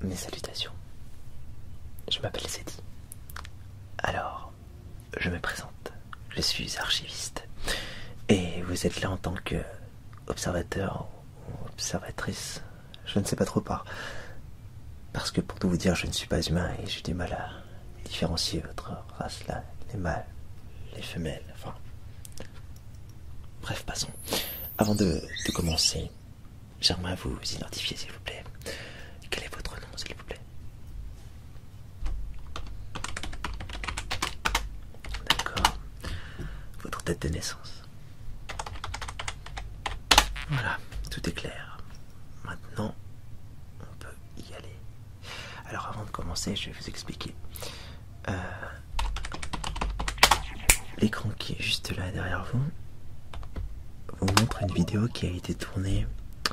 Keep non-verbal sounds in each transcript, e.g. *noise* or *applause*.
Mes salutations. Je m'appelle Cédie. Alors, je me présente. Je suis archiviste. Et vous êtes là en tant que observateur ou observatrice, je ne sais pas trop par. Parce que pour tout vous dire, je ne suis pas humain et j'ai du mal à différencier votre race là, les mâles, les femelles, enfin. Bref, passons. Avant de, de commencer, j'aimerais vous identifier s'il vous plaît. Quel est votre nom s'il vous plaît D'accord. Votre date de naissance. Voilà, tout est clair. Maintenant, on peut y aller. Alors avant de commencer, je vais vous expliquer. Euh, l'écran qui est juste là derrière vous vous montre une vidéo qui a été tournée à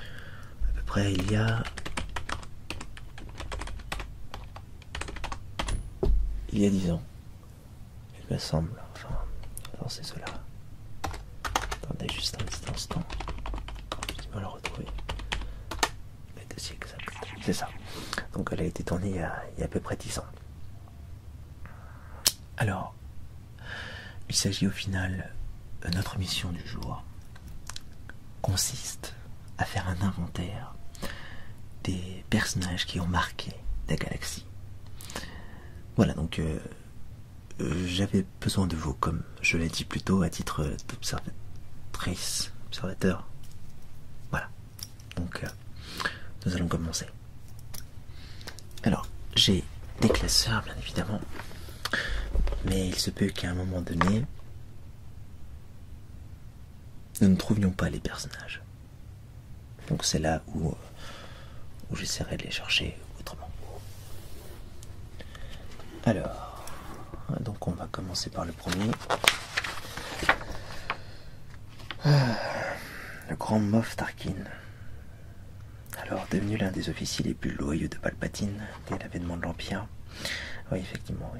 peu près il y a il y a dix ans, il me semble. Enfin, alors c'est cela. Attendez juste un instant. je vais le retrouver C'est ça. Donc elle a été tournée il y a, à peu près dix ans. Alors, il s'agit au final de notre mission du jour consiste à faire un inventaire des personnages qui ont marqué la galaxie. Voilà, donc euh, euh, j'avais besoin de vous, comme je l'ai dit plus tôt, à titre d'observatrice, observateur. Voilà, donc euh, nous allons commencer. Alors, j'ai des classeurs, bien évidemment, mais il se peut qu'à un moment donné, nous ne trouvions pas les personnages. Donc c'est là où, euh, j'essaierai de les chercher autrement. Alors, euh, donc on va commencer par le premier. Ah, le grand Moff Tarkin. Alors devenu l'un des officiers les plus loyaux de Palpatine dès l'avènement de l'Empire. Oui, effectivement, oui.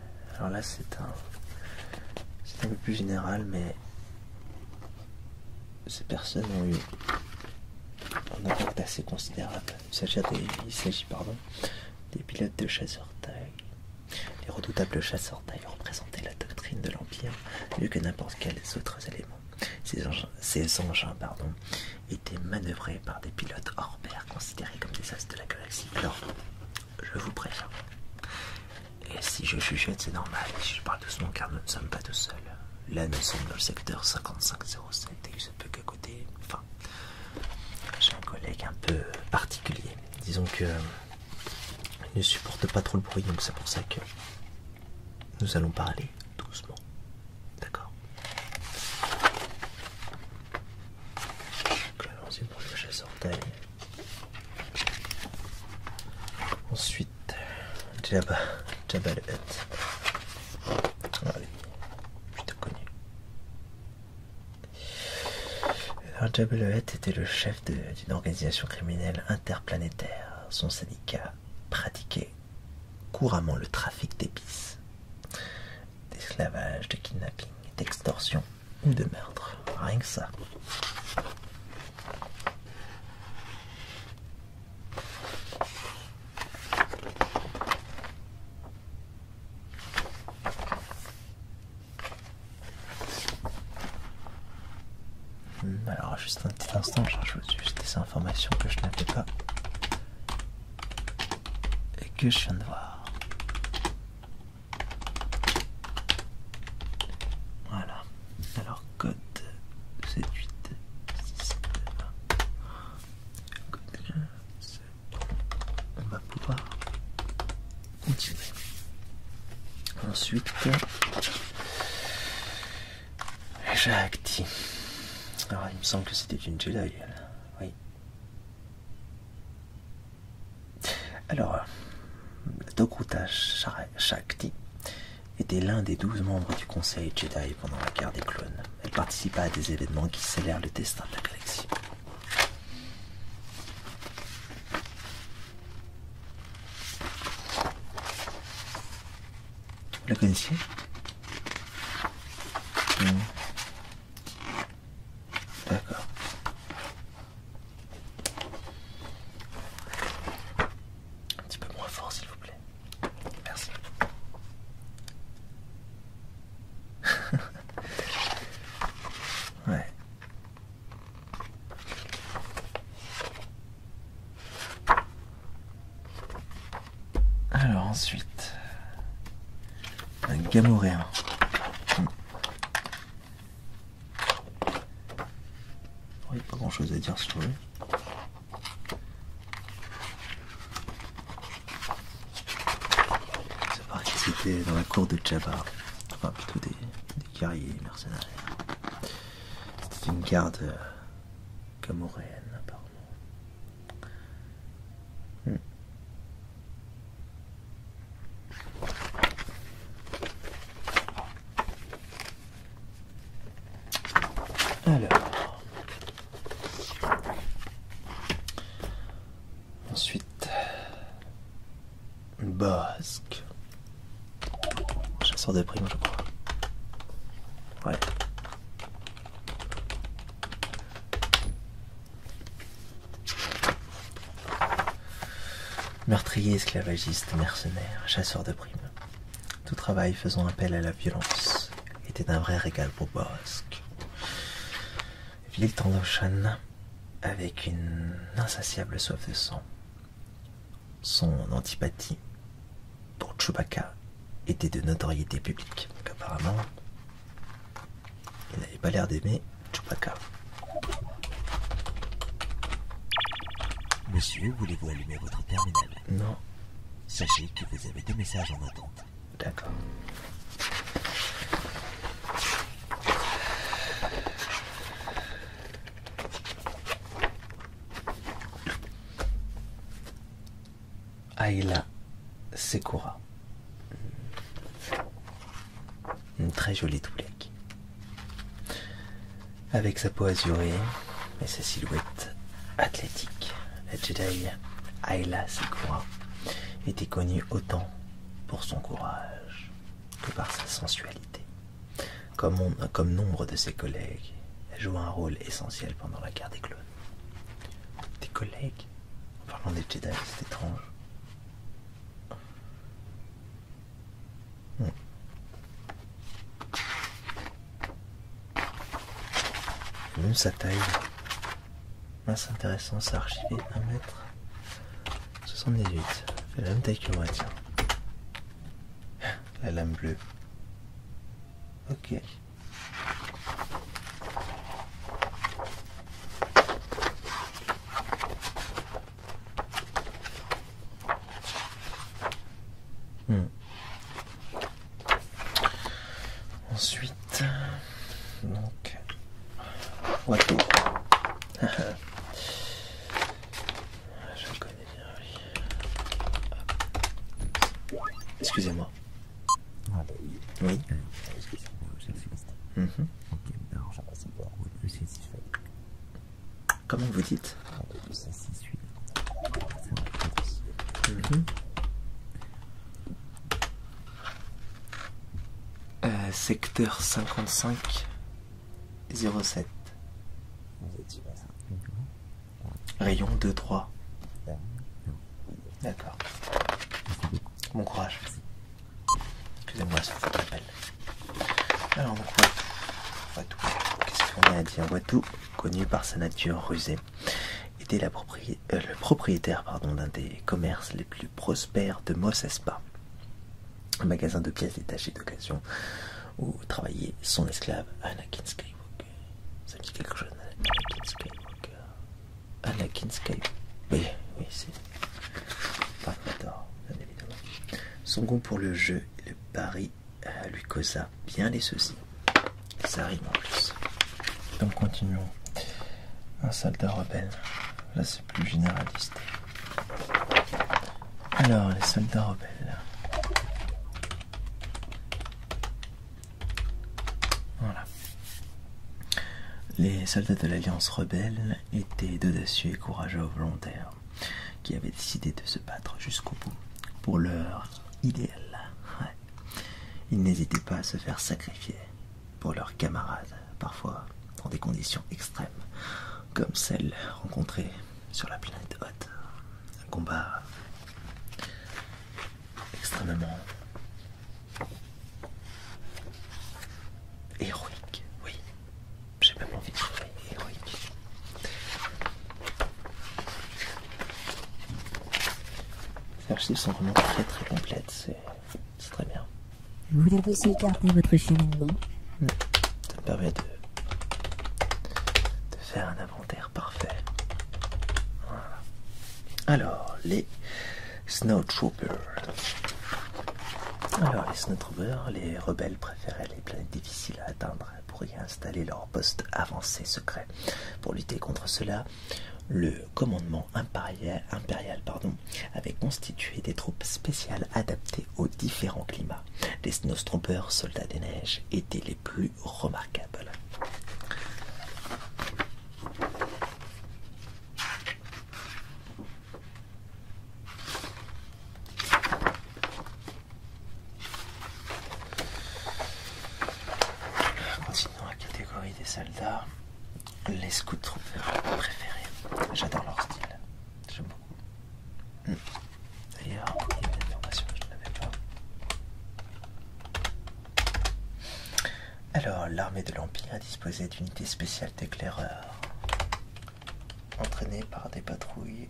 alors là, c'est un, c'est un peu plus général, mais ces personnes ont eu un impact assez considérable. Il s'agit des, pardon, des pilotes de chasseur taille. Les redoutables chasseurs taille représentaient la doctrine de l'Empire mieux que n'importe quels autres éléments. Ces engins, pardon, étaient manœuvrés par des pilotes hors considérés comme des as de la galaxie. Je vous préviens. Et si je chuchote, c'est normal. Je parle doucement car nous ne sommes pas tout seuls. Là, nous sommes dans le secteur 5507 et il se peut qu'à côté, enfin, j'ai un collègue un peu particulier. Disons que ne supporte pas trop le bruit, donc c'est pour ça que nous allons parler doucement. D'accord pour Ensuite, Jabba, ah était le chef d'une organisation criminelle interplanétaire. Son syndicat pratiquait couramment le trafic d'épices, d'esclavage, de kidnapping, d'extorsion de meurtre. Rien que ça. Hmm, alors juste un petit instant, je cherche juste des informations que je n'avais pas et que je viens de voir. Voilà. Alors code 7, 8, 6, 7, 8 Code 1, 7. On va pouvoir continuer. Ensuite, Jacti. Alors il me semble que c'était une Jedi. Oui. Alors, Dokuta Shakti était l'un des douze membres du Conseil Jedi pendant la guerre des clones. Elle participa à des événements qui scellèrent le destin de la galaxie. Vous la connaissiez D'accord. Un petit peu moins fort, s'il vous plaît. Merci. *laughs* ouais. Alors ensuite, un gamoréen. Il n'y a pas grand chose à dire sur lui. Ça paraît que c'était dans la cour de Jabba, enfin plutôt des, des guerriers mercenaires. C'était une garde euh, camoréenne apparemment. Hmm. Alors. Ensuite. Basque. Chasseur des primes, je crois. Ouais. Meurtrier, esclavagiste, mercenaire, chasseur de primes. Tout travail faisant appel à la violence était un vrai régal pour Borosk. Ville Tandoshan, avec une insatiable soif de sang. Son antipathie pour Chewbacca était de notoriété publique. apparemment, il n'avait pas l'air d'aimer Chewbacca. Monsieur, voulez-vous allumer votre terminal Non. Sachez que vous avez deux messages en attente. D'accord. Aïla, Sekura. Une très jolie toulette. Avec sa peau azurée et sa silhouette athlétique, la Jedi Ayla Sikora était connue autant pour son courage que par sa sensualité. Comme, nombre de ses collègues, elle joue un rôle essentiel pendant la guerre des clones. Des collègues En parlant des Jedi, c'est étrange. Même sa taille. assez intéressant, ça archivé 1m78. Fait la même taille que moi, tiens. La lame bleue. Ok. Hmm. Ensuite, donc, ouais, *laughs* je connais bien, Excusez-moi, oui, hmm. excusez-moi, je suis le Comment vous dites mhm. euh, secteur sept mhm. Rayon 2-3. D'accord. Bon courage. Excusez-moi ça vous appel. Alors on voit qu'est-ce qu'on a à dire tout. connu par sa nature rusée, était euh, le propriétaire d'un des commerces les plus prospères de Mossespa, un magasin de pièces détachées d'occasion où travaillait son esclave Anakin Skywalker. Ça me dit quelque chose, Anakin Skywalker la Sky. Oui, oui, c'est. d'or, bien évidemment. Son goût pour le jeu le pari euh, lui causa bien des soucis. Ça arrive en plus. Donc continuons. Un soldat rebelle. Là c'est plus généraliste. Alors les soldats rebelles. Voilà. Les soldats de l'Alliance rebelle étaient d'audacieux et courageux volontaires qui avaient décidé de se battre jusqu'au bout pour leur idéal. Ils n'hésitaient pas à se faire sacrifier pour leurs camarades, parfois dans des conditions extrêmes, comme celles rencontrées sur la planète Hoth. Un combat extrêmement Héroïque, oui. J'ai même envie de trouver héroïque. Les archives sont vraiment très très complètes, c'est très bien. Vous voulez aussi écarter votre cheminement. Ça me permet de, de faire un inventaire parfait. Voilà. Alors, les Snow alors, les snowtroopers, les rebelles préféraient les planètes difficiles à atteindre pour y installer leur poste avancé secret. Pour lutter contre cela, le commandement impérial, impérial pardon, avait constitué des troupes spéciales adaptées aux différents climats. Les Snowtroopers, soldats des neiges, étaient les plus remarquables. Continuons à catégorie des soldats. Les scouts troopers préférés. J'adore leur style. J'aime beaucoup. D'ailleurs, il y a une information que je n'avais pas. Alors, l'armée de l'Empire disposait d'unités spéciales d'éclaireurs, Entraînés par des patrouilles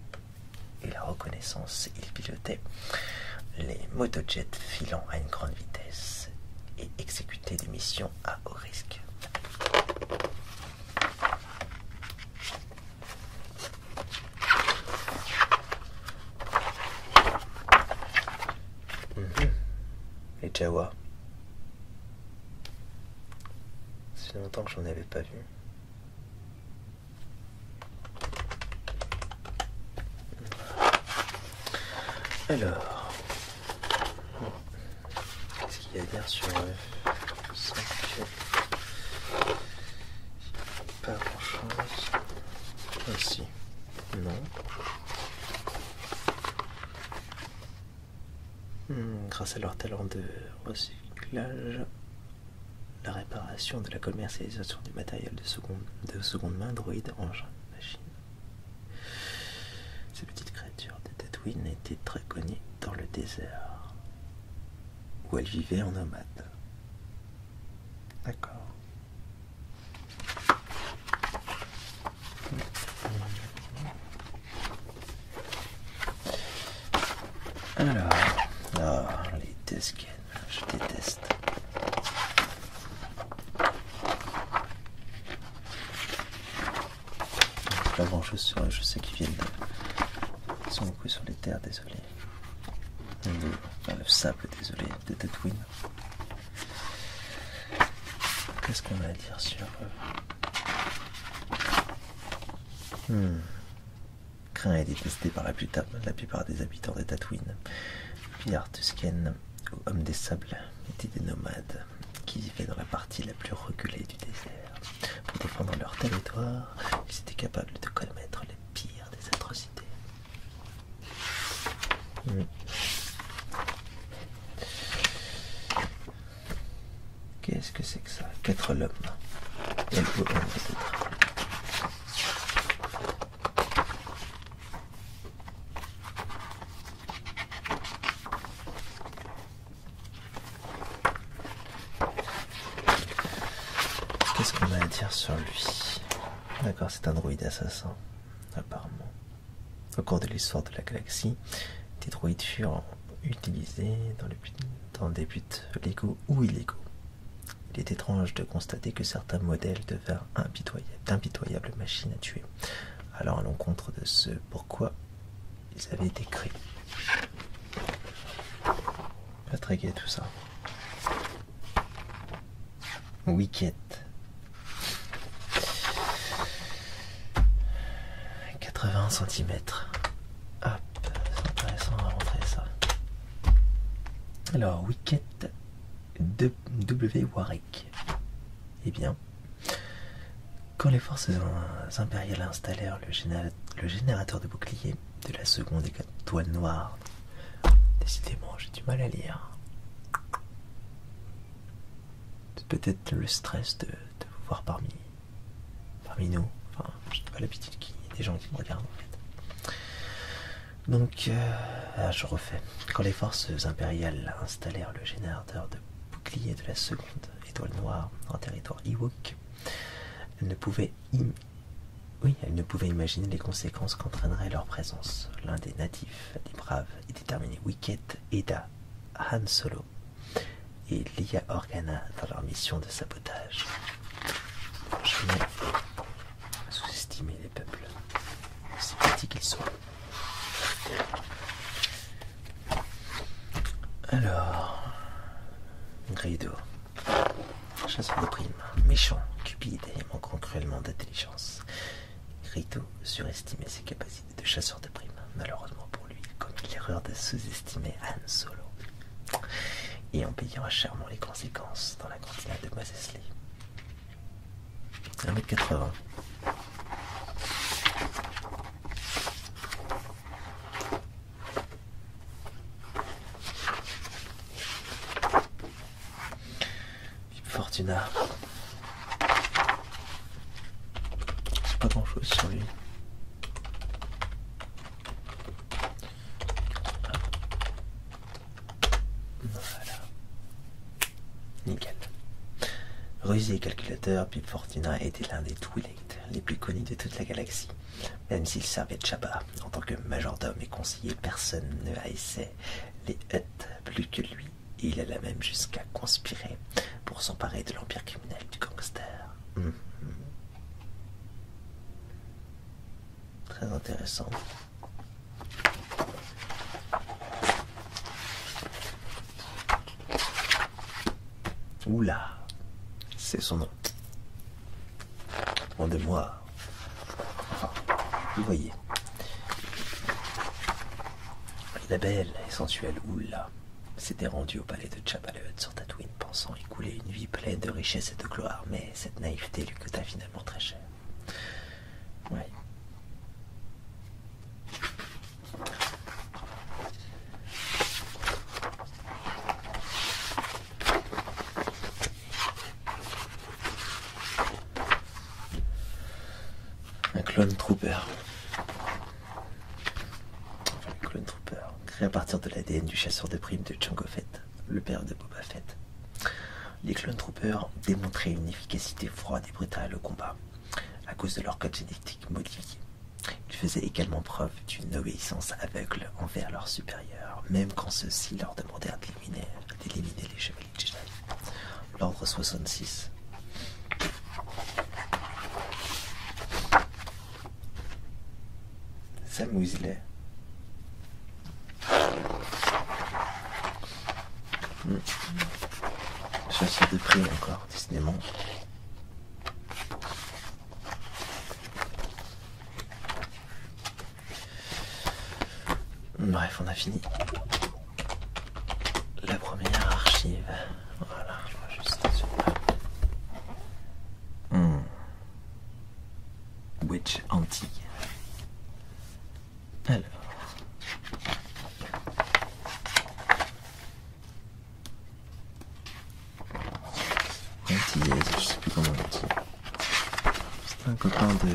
et la reconnaissance. Ils pilotaient les motojets filant à une grande vitesse et exécutaient des missions à haut risque. Les mhm. Jawa, c'est longtemps que j'en avais pas vu. Alors, qu'est-ce qu'il y a à dire sur 5 Pas grand-chose. Ah, si, non. Hmm, grâce à leur talent de recyclage, la réparation de la commercialisation du matériel de seconde, main, droïde, engin, machine. Ces petites créatures de Tatooine étaient très connues dans le désert, où elles vivaient en nomade. D'accord. Alors, oh, les disques, je déteste. Pas grand chose sur eux, je sais qu'ils viennent de. Ils sont beaucoup sur les terres, désolé. Le, sable, désolé, des Tatooine. Qu'est-ce qu'on a à dire sur eux hmm. Craint est détesté par la, la plupart des habitants des Tatouines Pilar Tusken, ou homme des sables, était des nomades qui vivaient dans la partie la plus reculée du désert. Pour défendre leur territoire, ils étaient capables de commettre les pires des atrocités. Hmm. Qu'est-ce que c'est que ça Quatre lobes. Qu'est-ce qu'on a à dire sur lui D'accord, c'est un droïde assassin, apparemment. Au cours de l'histoire de la galaxie, des droïdes furent utilisés dans, des buts légaux ou illégaux. Il est étrange de constater que certains modèles devinrent d'impitoyables machines à tuer, alors à l'encontre de ce pourquoi ils avaient été créés. Pas très tout ça. Wicket. 80 cm. Hop, c'est intéressant à rentrer ça. Alors, Wicket de W. Warwick. et eh bien, quand les forces impériales installèrent le, générateur de bouclier de la seconde étoile noire, décidément j'ai du mal à lire peut-être le stress de, vous voir parmi, parmi nous. Enfin, je n'ai pas l'habitude qu'il y des gens qui me regardent en fait. Donc, euh, ah, je refais. Quand les forces impériales installèrent le générateur de boucliers de la seconde étoile noire en territoire Ewok, elles ne pouvaient, oui, ne imaginer les conséquences qu'entraînerait leur présence. L'un des natifs, des braves et déterminés Wicked, aida Han Solo et Lia Organa dans leur mission de sabotage. Je pas sous-estimer les peuples, aussi petits qu'ils sont. Alors, Grido, chasseur de primes, méchant, cupide et manquant cruellement d'intelligence. sur surestimait ses capacités de chasseur chasseurs de primes. Malheureusement pour lui, il l'erreur de sous-estimer Han Solo et en payera chèrement les conséquences dans la cantina de Moses Lee. 1 80 Pip Fortuna. C'est pas grand chose sur lui. Voilà. Nickel. Rusé calculateur, Pip Fortuna était l'un des Twilight les plus connus de toute la galaxie. Même s'il servait de chabat en tant que majordome et conseiller, personne ne haïssait les Hutt plus que lui. Il il alla même jusqu'à conspirer pour s'emparer de l'empire criminel du gangster. Mhm. Très intéressant. Oula, c'est son nom. Rendez-moi. vous voyez. La belle et sensuelle oula s'était rendue au palais de Chapalhut sur Tatooine, pensant y couler une vie pleine de richesse et de gloire, mais cette naïveté lui coûta finalement très cher. Un clone trooper. clone trooper. Créé à partir de l'ADN du chasseur de primes de Django Fett, le père de Boba Fett. Les clone troopers démontraient une efficacité froide et brutale au combat, à cause de leur code génétique modifié. Ils faisaient également preuve d'une obéissance aveugle envers leurs supérieurs, même quand ceux-ci leur demandaient d'éliminer les L'ordre 66. Sam il est hmm. Je de prix encore, Disney Bref, on a fini la première archive. Voilà, je vois juste celui Hmm. Witch antique. Alors. Antillaise, je sais plus comment on dit. C'est un copain de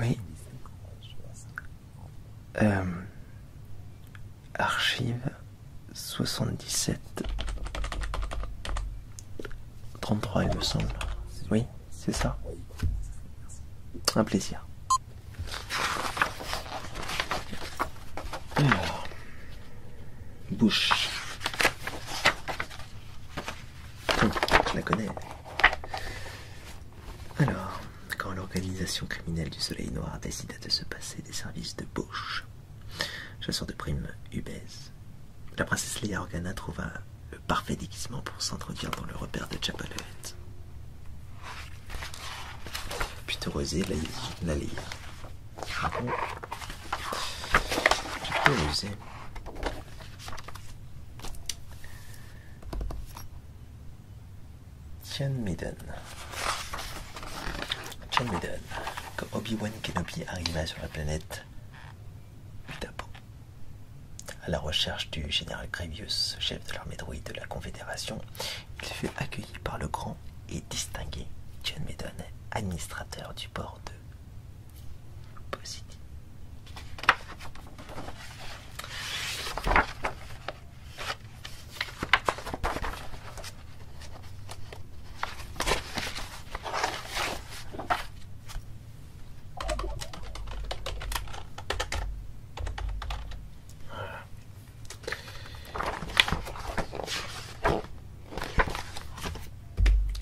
Oui. Euh, archive 77 33 il me semble. Oui, c'est ça. Un plaisir. Alors, bouche. Hum, je la connais. Alors, quand l'organisation criminelle du Soleil Noir décida de se passer des services de bouche. chasseur de prime ubèze. la princesse Leia Organa trouva le parfait déguisement pour s'introduire dans le repère de Chapalouette Puis la, la lire. Tian Maiden. Tian Maiden. Quand Obi-Wan Kenobi arriva sur la planète Utapo, à la recherche du général Grievous, chef de l'armée droïde de la Confédération, il fut accueilli par le grand et distingué Tian Maiden, administrateur du port de Positi.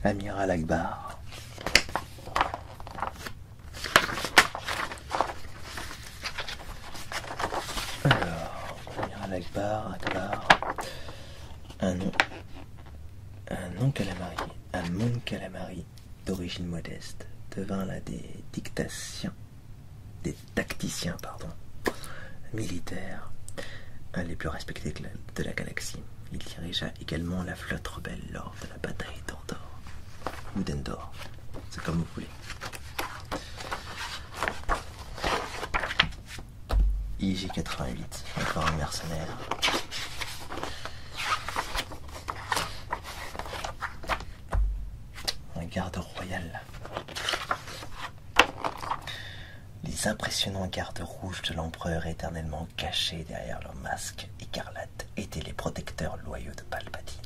Amiral Akbar. Alors, on à Akbar Un nom. Un nom calamari. Un mon calamari d'origine modeste devint la des dictations, des tacticiens, pardon, militaires, les plus respectés de la, galaxie. Il dirigea également la flotte rebelle lors de la bataille d'Ordor, ou d'Endor, c'est comme vous voulez. IG88, encore un mercenaire. Un garde royal. Les impressionnants gardes rouges de l'empereur éternellement cachés derrière leurs masques écarlates étaient les protecteurs loyaux de Palpatine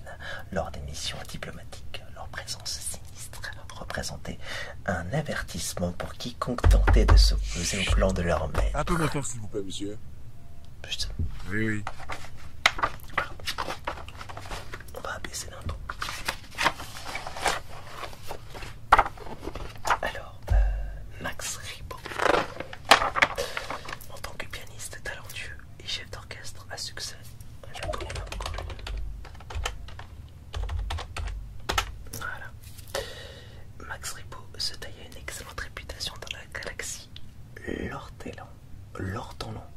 lors des missions diplomatiques. Leur présence sinistre représentait un avertissement pour quiconque tentait de s'opposer au plan de leur maître. Un peu moins s'il vous plaît, monsieur. Putain. Oui, oui. On va abaisser l'intro. Alors, euh, Max en tant que pianiste talentueux et chef d'orchestre à succès, je Max Ripo se taillait une excellente réputation dans la galaxie. talent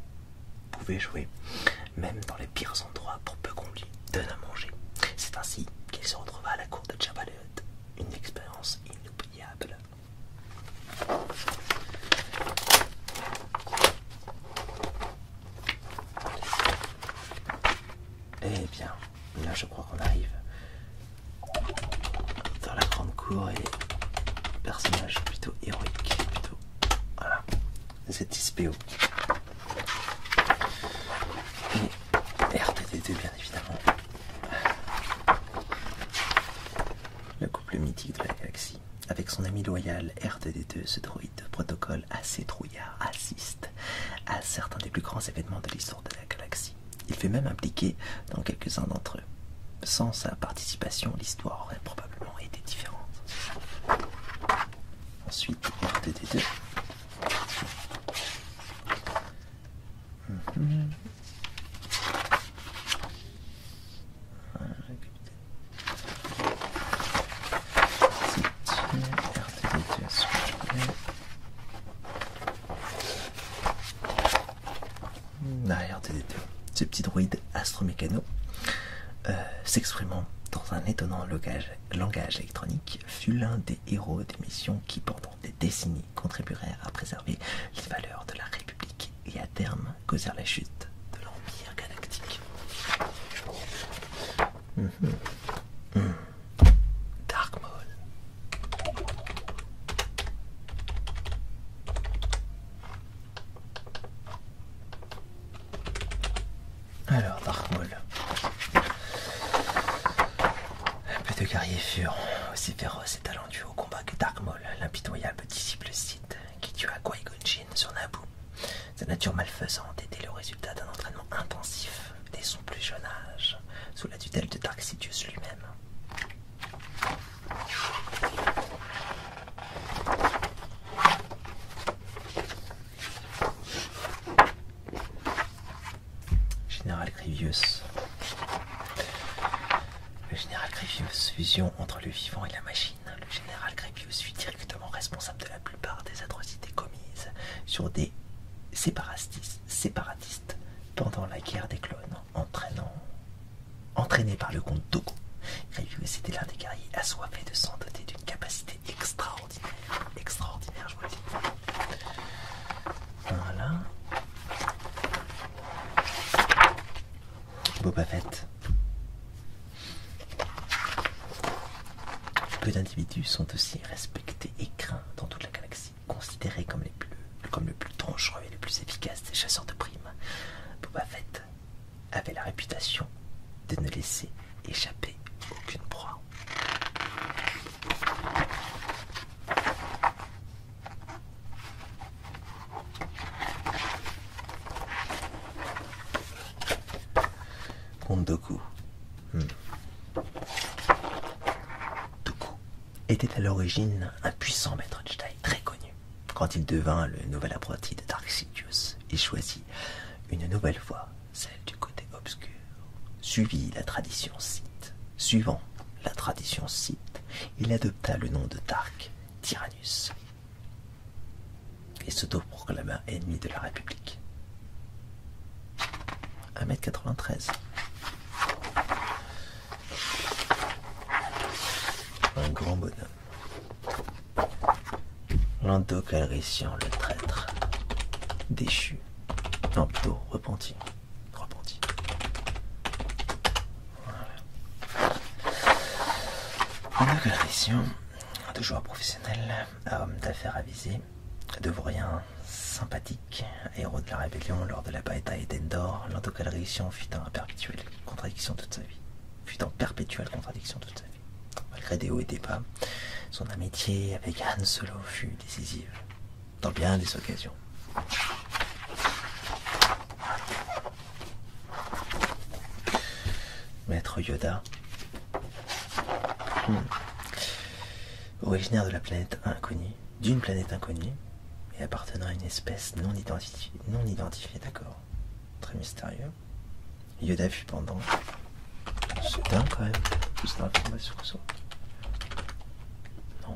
pouvait jouer, même dans les pires endroits, pour peu qu'on lui donne à manger. C'est ainsi qu'il se retrouva à la cour de Jabba une expérience inoubliable eh bien, là je crois qu'on arrive dans la grande cour et personnage plutôt héroïque, plutôt voilà, et RTT2 bien évidemment. Le couple mythique de la galaxie, avec son ami loyal RTD2, ce droïde de protocole assez trouillard, assiste à certains des plus grands événements de l'histoire de la galaxie. Il fait même impliqué dans quelques-uns d'entre eux. Sans sa participation, l'histoire aurait probablement été différente. Ensuite, RTD2 Mmh. Ah, ce petit droïde astromécano euh, s'exprimant dans un étonnant langage électronique fut l'un des héros des missions qui pendant des décennies contribuèrent à préserver les valeurs de la République et à terme causèrent la chute de l'Empire galactique. Mhm. Mhm. Dark Alors, Dark Maul. Un peu de guerriers furent aussi féroces et au combat que Dark l'impitoyable disciple Sith, qui tua Qui-Gon Jinn sur Naboo, sa nature malfaisante était le résultat d'un entraînement intensif dès son plus jeune âge, sous la tutelle de Dark Sidious lui-même. Général Grievous. Le général Grevius, fusion entre le vivant et la machine. Le général Grevius fut directement responsable de la plupart des atrocités commises sur des séparatistes, pendant la guerre des clones, entraînant, entraîné par le comte Dogo. Grevius était l'un des guerriers assoiffés de sang d'une capacité extraordinaire. Extraordinaire, je vous le dis. Voilà. Boba Fett. Peu d'individus sont aussi respectés et craints dans toute la galaxie, considérés comme, les plus, comme le plus dangereux et le plus efficace des chasseurs de primes. Boba Fett avait la réputation de ne laisser échapper aucune proie. Kondoku. Hmm. Doku. était à l'origine un puissant maître de taille très connu. Quand il devint le nouvel apprenti de Dark Sidious, il choisit une nouvelle voie, celle du côté obscur, Suivi la tradition Sith, suivant la tradition cite, il adopta le nom de Dark Tyrannus, et se proclama ennemi de la République. 1m93. Un grand bonhomme. lindo le traître, déchu, Lanto, plutôt repenti repentit. Voilà. On a de joueur professionnel à homme d'affaires avisé, devrien sympathique, héros de la rébellion lors de la bataille d'Endor, l'un auquel fut en perpétuelle contradiction toute sa vie. Fut en perpétuelle contradiction toute sa vie. Malgré des hauts et des bas, son amitié avec Han Solo fut décisive dans bien des occasions. Maître Yoda, hmm. originaire de la planète inconnue, d'une planète inconnue, et appartenant à une espèce non identifiée, non identifiée, d'accord. Très mystérieux. Yoda fut pendant. soudain quand même, non.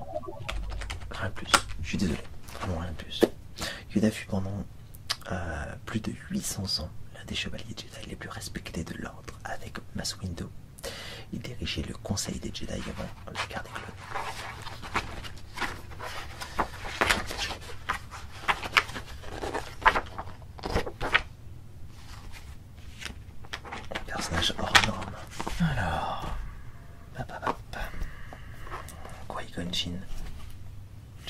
Rien de plus. Je suis désolé. Vraiment rien de plus. Yoda fut pendant euh, plus de 800 ans l'un des chevaliers Jedi les plus respectés de l'ordre avec Mass Window. Il dirigeait le conseil des Jedi avant la guerre des clones. personnage hors norme. Alors. Gongjin.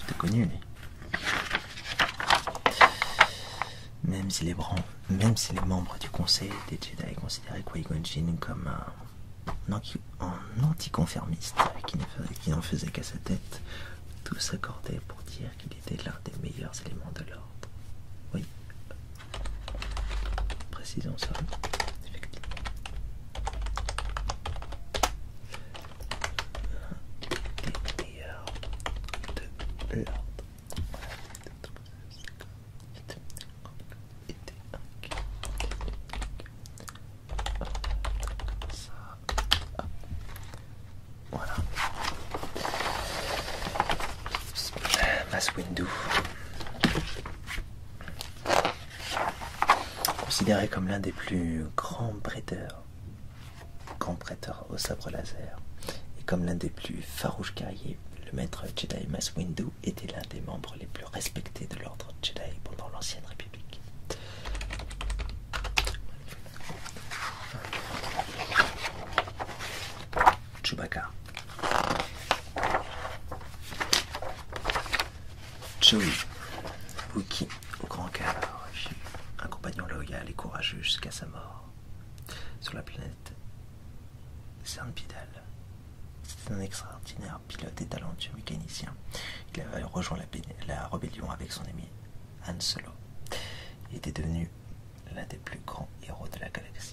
gon connu, lui. Même si, les membres du Conseil des Jedi considéraient qui comme un, anticonformiste qui n'en faisait, faisait qu'à sa tête, tous s'accordaient pour dire qu'il était l'un des meilleurs éléments de l'ordre. Oui, Précisons ça, effectivement. de Considéré comme l'un des plus grands prêteurs, grand au sabre laser, et comme l'un des plus farouches guerriers, le maître Jedi Mass Windu était l'un des membres les plus respectés de l'ordre Jedi pendant l'ancienne République. Chewbacca Joey, Wookie au grand cœur, un compagnon loyal et courageux jusqu'à sa mort, sur la planète Cernpidal. C'est un extraordinaire pilote et talentueux mécanicien. Il avait rejoint la, la rébellion avec son ami Han Solo. Il était devenu l'un des plus grands héros de la galaxie.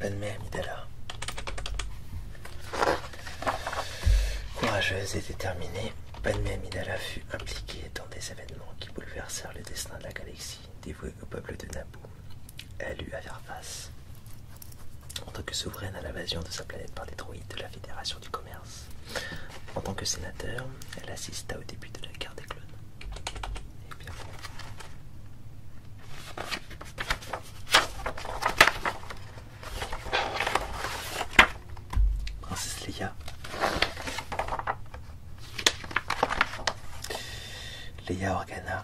Bonne Amidala. Courageuse et déterminée, Padmé Amidala fut impliquée dans des événements qui bouleversèrent le destin de la galaxie, dévouée au peuple de Naboo. Elle eut à faire face, en tant que souveraine à l'invasion de sa planète par des droïdes de la Fédération du Commerce. En tant que sénateur, elle assista au début de la guerre des clones. Et bien Princesse Leia. Leia Organa.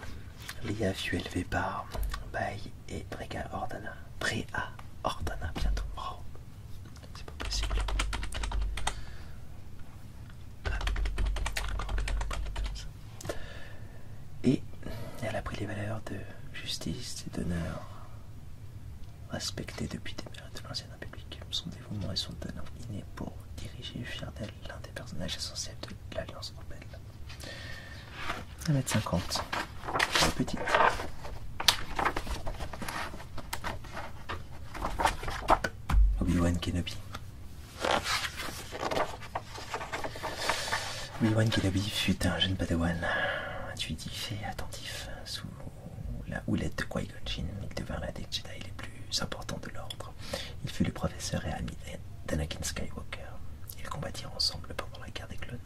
Leia fut élevée par Baï et Brega Ordana. Bréa Ordana bientôt. C'est pas possible. Et elle a pris les valeurs de justice et d'honneur respectées depuis des mères de l'ancienne République. Son dévouement et son talent inné pour diriger fier d'elle l'un des personnages essentiels de l'Alliance Rebelle. 1m50. Petite. Obi-Wan Kenobi. Obi-Wan Kenobi fut un jeune padawan intuitif et attentif. Sous la houlette de Qui-Gon Jinn, il devint l'un des Jedi les plus importants de l'ordre. Il fut le professeur et ami d'Anakin Skywalker. Ils combattirent ensemble pendant la guerre des clones.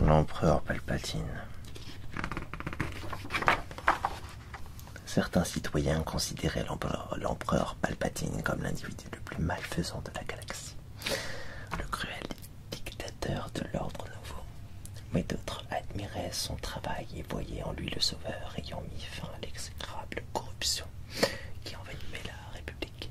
L'empereur Palpatine. Certains citoyens considéraient l'empereur Palpatine comme l'individu le plus malfaisant de la galaxie, le cruel dictateur de l'ordre nouveau. Mais d'autres admiraient son travail et voyaient en lui le sauveur ayant mis fin à l'exécrable corruption qui envahissait la République.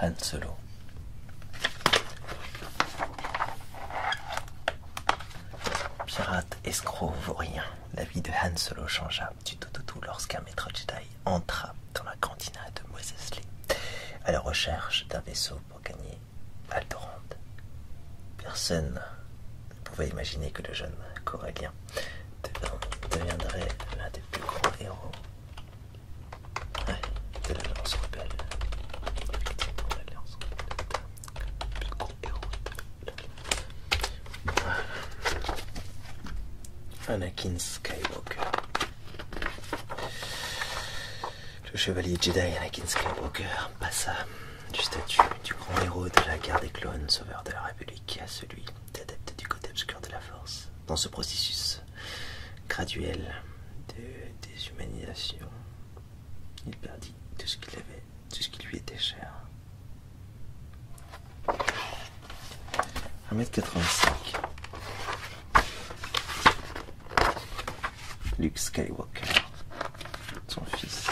Han Solo. Pirate escroc vaurien, la vie de Han Solo changea du tout au tout lorsqu'un maître Jedi entra dans la cantina de Moisesley à la recherche d'un vaisseau pour gagner Aldorand. Personne vous pouvez imaginer que le jeune Corélien deviendrait l'un des plus grands héros ouais, de l'Alliance Rebelle. Anakin Skywalker. Le chevalier Jedi Anakin Skywalker pas ça du statut du grand héros de la guerre des clones, sauveur de la République, à celui d'adepte du côté obscur de la force. Dans ce processus graduel de déshumanisation, il perdit tout ce qu'il avait, tout ce qui lui était cher. 1m85 Luke Skywalker, son fils,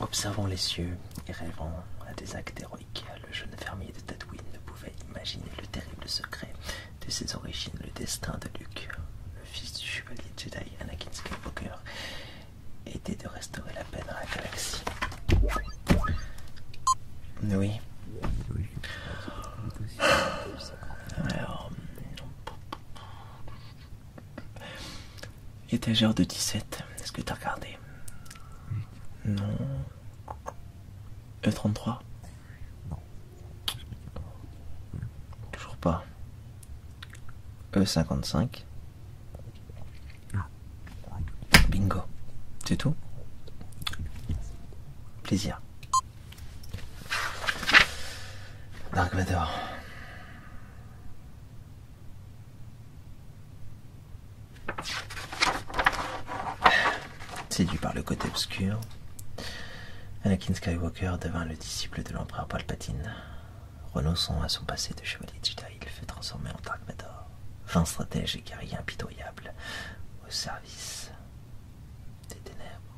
Observant les cieux et rêvant à des actes héroïques, le jeune fermier de Tatooine ne pouvait imaginer le terrible secret de ses origines, le destin de Luke, le fils du chevalier Jedi Anakin Skywalker, était de restaurer la paix dans la galaxie. Oui. Étagère de 17, est-ce que t'as regardé Non. E33 Non. Toujours pas. E55 ah. Bingo. C'est tout Plaisir. Dark Vador. Séduit par le côté obscur, Anakin Skywalker devint le disciple de l'empereur Palpatine. Renonçant à son passé de chevalier Jedi, il fut transformé en Dark fin stratège et guerrier impitoyable au service des ténèbres.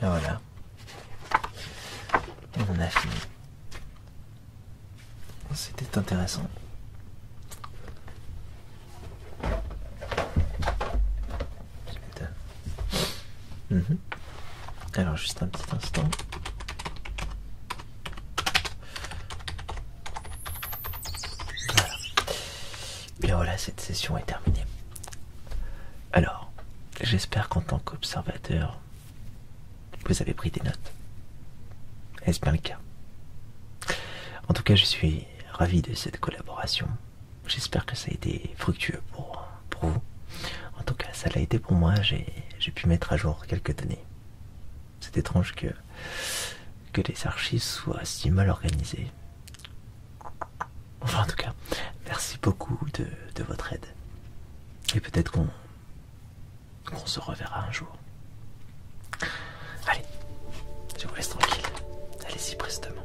Et voilà. Et on a fini. C'était intéressant. Mhm. Alors juste un petit instant. Voilà. Bien voilà, cette session est terminée. Alors, j'espère qu'en tant qu'observateur, vous avez pris des notes. Est-ce bien le cas En tout cas, je suis ravi de cette collaboration. J'espère que ça a été fructueux pour, pour vous. En tout cas, ça l'a été pour moi. J'ai pu mettre à jour quelques données. C'est étrange que, que les archives soient si mal organisées. Enfin, en tout cas, merci beaucoup de, de votre aide. Et peut-être qu'on qu'on se reverra un jour. Allez, je vous laisse tranquille. Allez-y prestement.